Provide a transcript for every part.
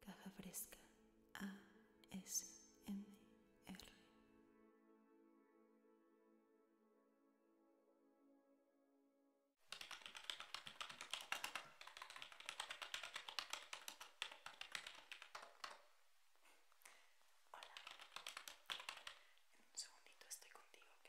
Caja Fresca ASMR. Hola, en un segundito estoy contigo, ¿ok?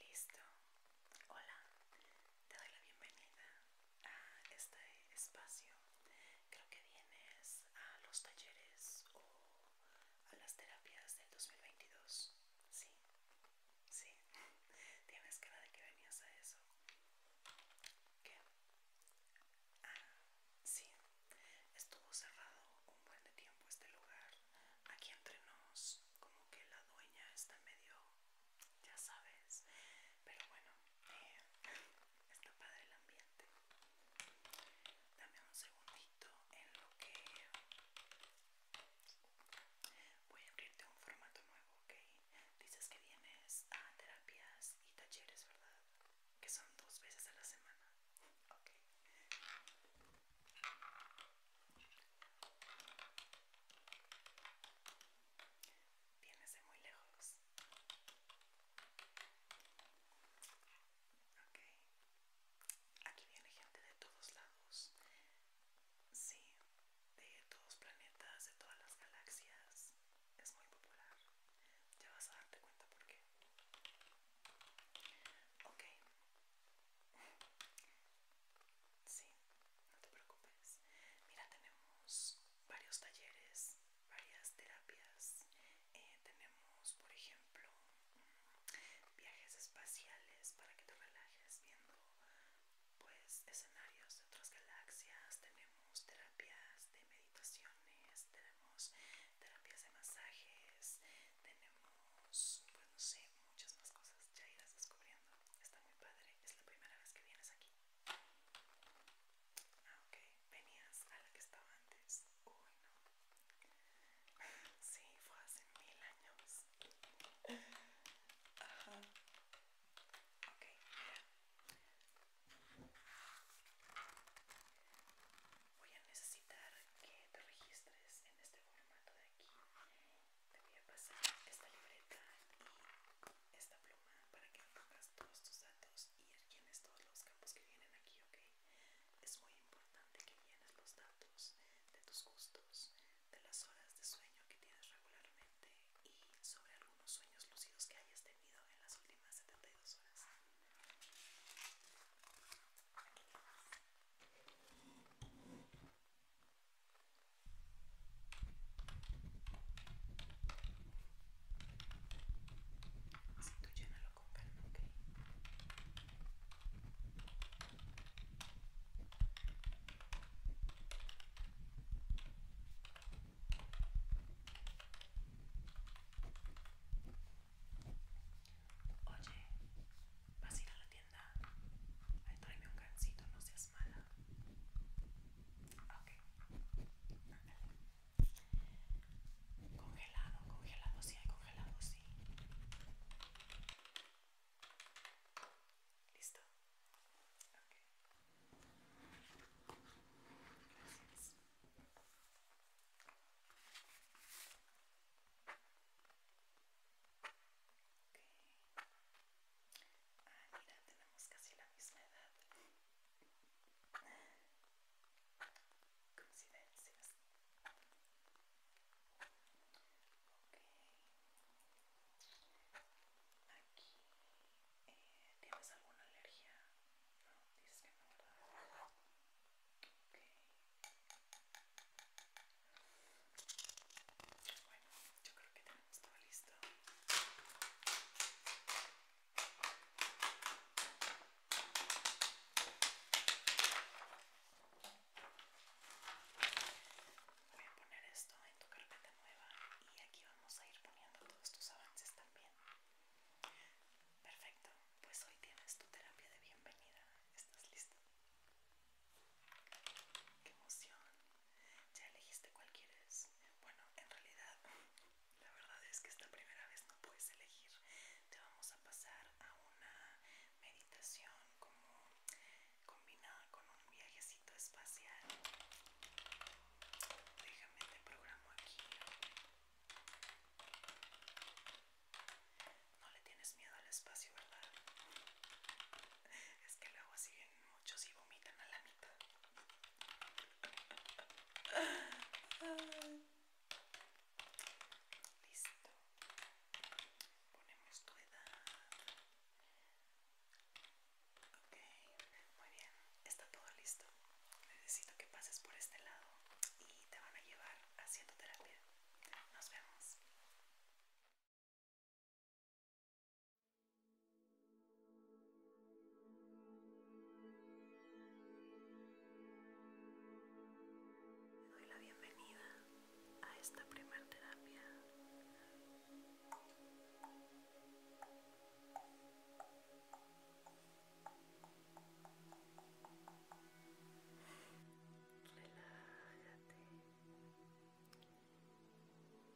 Listo. Hola, te doy la bienvenida a este espacio. Creo que vienes a los talleres o a las terapias del 2022. Sí, sí, tienes cara de que venías a eso. ¿Qué? Ah, sí. Estuvo cerrado un buen tiempo este lugar. Aquí entre nos, como que la dueña está medio, ya sabes. Pero bueno, eh, está padre el ambiente. Dame un segundito en lo que voy a abrirte un formato nuevo, ¿ok? Dices que vienes a terapias y talleres, ¿verdad? Que son dos veces a la semana. Vienes de muy lejos. Aquí viene gente de todos lados. Sí, de todos planetas, de todas las galaxias es muy popular. Ya vas a darte cuenta por qué. Ok. Sí, no te preocupes. Mira, tenemos varios talleres, varias terapias. Eh, tenemos, por ejemplo, mm, viajes espaciales para que te relajes viendo pues escenarios de otras galaxias. Tenemos tenemos terapias de meditaciones, tenemos terapias de masajes, tenemos, pues no sé, muchas más cosas. Ya irás descubriendo. Está muy padre. Es la primera vez que vienes aquí. Ah, ok. Venías a la que estaba antes. Uy, no. Sí, fue hace mil años. Ajá. Ok, mira. Voy a necesitar que te registres en este formato de aquí. Te voy a pasar esta libreta y esta pluma para que pongas todos tus datos y llenes todos los campos que vienen aquí, ¿ok? Es muy importante que llenes los datos de tus gustos, de las horas de sueño que tienes regularmente y sobre algunos sueños lúcidos que hayas tenido en las últimas 72 horas. Si tú llénalo con calma, ok. Oye, vas a ir a la tienda. Ay, tráeme un gancito, no seas mala. Ok, Congelado, congelado, sí hay congelado, sí. ¿Listo? Ok. Okay. Ah, mira, tenemos casi la misma edad. Coincidencias. Ok, Aquí, eh, ¿tienes alguna alergia? No, dices que no, ¿verdad? Bueno, yo creo que tenemos todo listo voy a poner esto en tu carpeta nueva y aquí vamos a ir poniendo todos tus avances también. Perfecto, pues hoy tienes tu terapia de bienvenida. ¿Estás listo? ¡Qué emoción! ¿Ya elegiste cuál quieres? Bueno, en realidad, la verdad es que esta primera vez no puedes elegir. Te vamos a pasar a una meditación como combinada con un viaje espacial. Déjame te programo aquí. No le tienes miedo al espacio, ¿verdad? Es que luego siguen muchos y vomitan a la mitad. Listo. Ponemos tu edad. Ok, muy bien, está todo listo. Necesito que pases por este lado y te van a llevar hacia tu terapia. Nos vemos. Te doy la bienvenida a esta primera terapia. Relájate.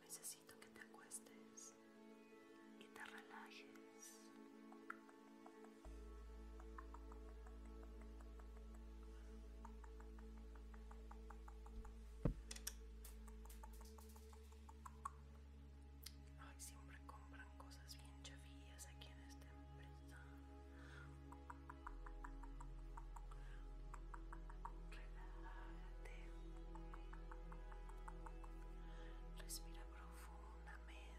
Necesito que te acuestes y te relajes. Ay, siempre compran cosas bien chavillas aquí en esta empresa. Relájate. Respira profundamente.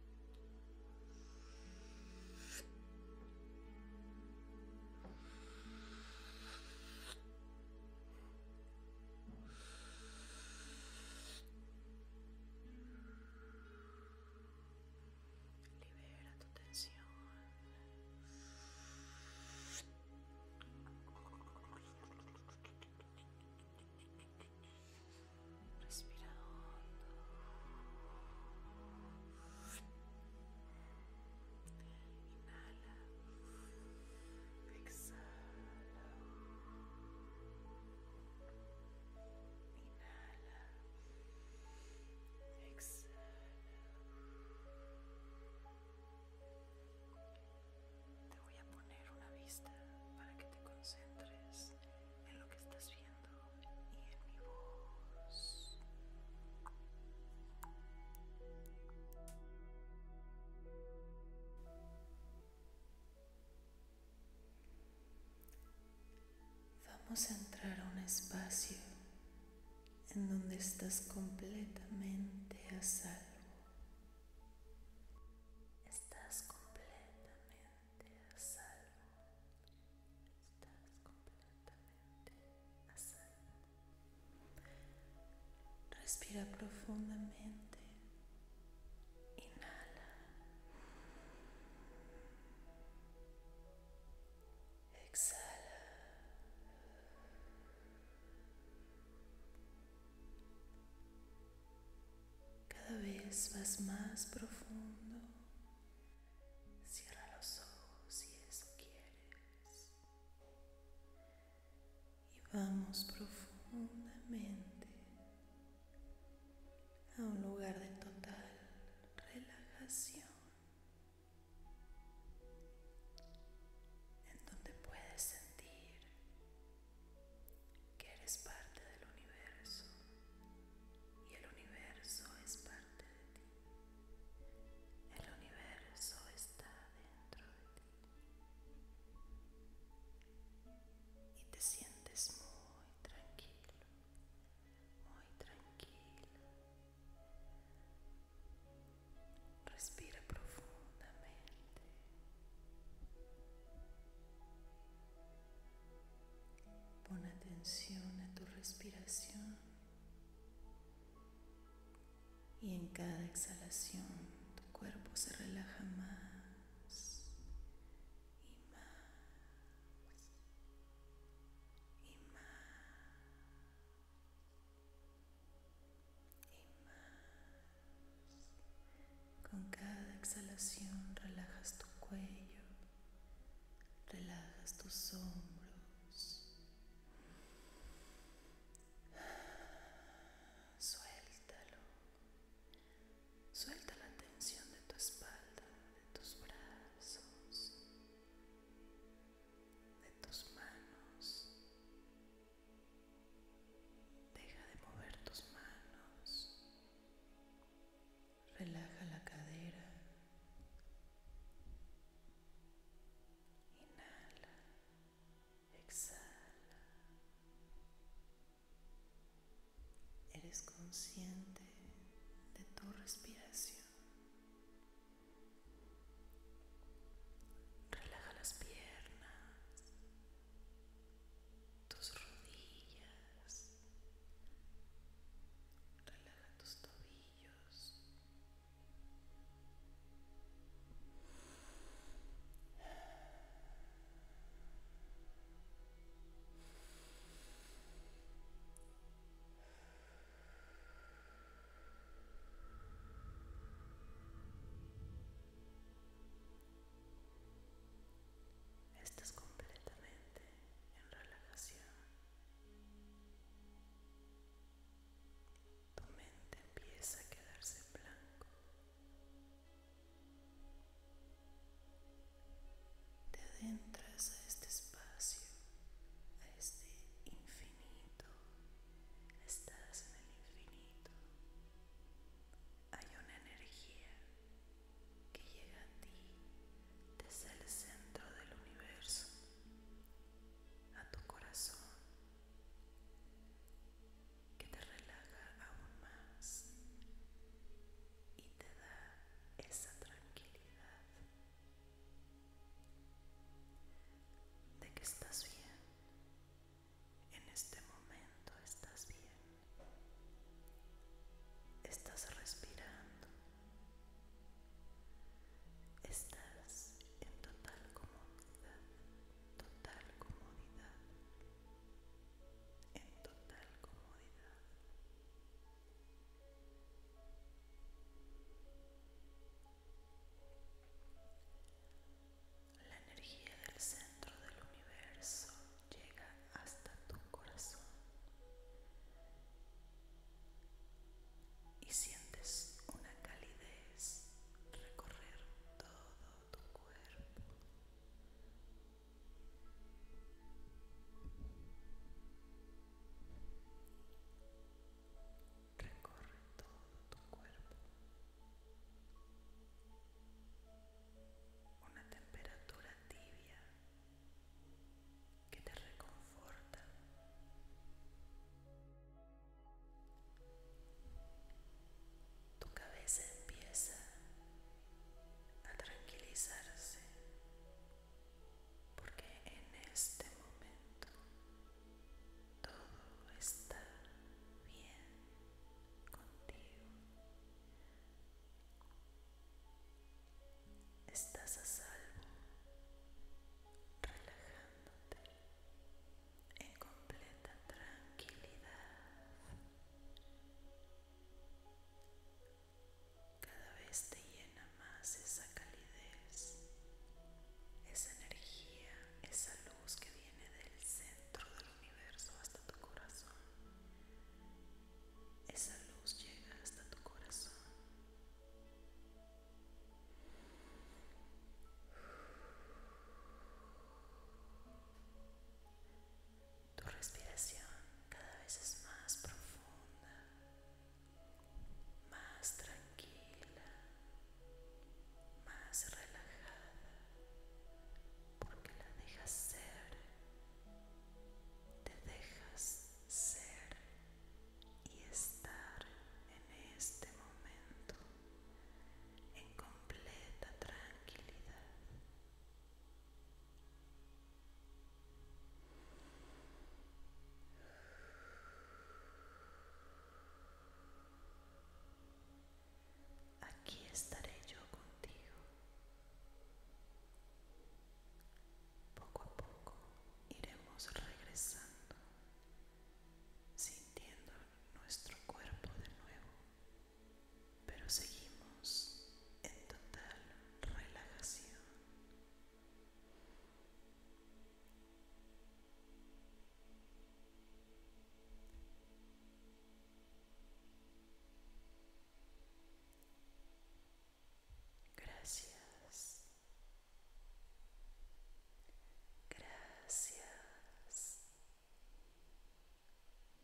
Libera tu tensión. Respira hondo. Inhala. Exhala. Inhala. Exhala. Te voy a poner una vista para que te concentres en lo que estás viendo y en mi voz. Vamos a entrar a un espacio en donde estás completamente a salvo. Estás completamente a salvo, estás completamente a salvo. Respira profundamente, inhala, exhala. Cada vez vas más profundo. Cierra los ojos si eso quieres. Y vamos profundamente a un lugar de total relajación. en donde puedes sentir que eres parte del universo y el universo es parte de ti. El universo está dentro de ti. Y te sientes muy tranquilo, muy tranquilo Respira profundamente. Pon atención a tu respiración y en cada exhalación tu cuerpo se relaja más y más y más y más. Con cada exhalación relajas tu cuello, relajas tus hombros. Suéltalo. Suelta la tensión de tu espalda, de tus brazos, de tus manos, Deja de mover tus manos. Relaja la cadera. Inhala. Exhala. Eres consciente de tu respiración. Relaja las piernas tus rodillas, relaja tus tobillos. Estás completamente en relajación. Tu mente empieza a quedarse blanco. Te adentras a este espacio, a este infinito. Estás en el infinito hay una energía que llega a ti desde el centro del universo, a tu corazón, que te relaja aún más y te da esa tranquilidad de que estás bien en este momento estás bien. Estás respirando. Estás en total comodidad. Total comodidad. En total comodidad. La energía del centro del universo llega hasta tu corazón y sientes una calidez recorrer todo tu cuerpo. Recorre todo tu cuerpo una temperatura tibia que te reconforta. Tu cabeza empieza a tranquilizarse porque en este momento todo está bien contigo. Estás a salvo, relajándote en completa tranquilidad. Cada vez te llena más esa calidez, esa energía, esa luz que viene viene del centro del universo hasta tu corazón. Esa luz llega hasta tu corazón. Tu respiración cada vez es más profunda, más tranquila más relajada porque la dejas ser, te dejas ser y estar en este momento en completa tranquilidad aquí estaré yo contigo. Poco a poco iremos regresando, sintiendo nuestro cuerpo de nuevo, pero seguimos en total relajación. Gracias. Gracias.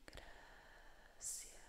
Gracias.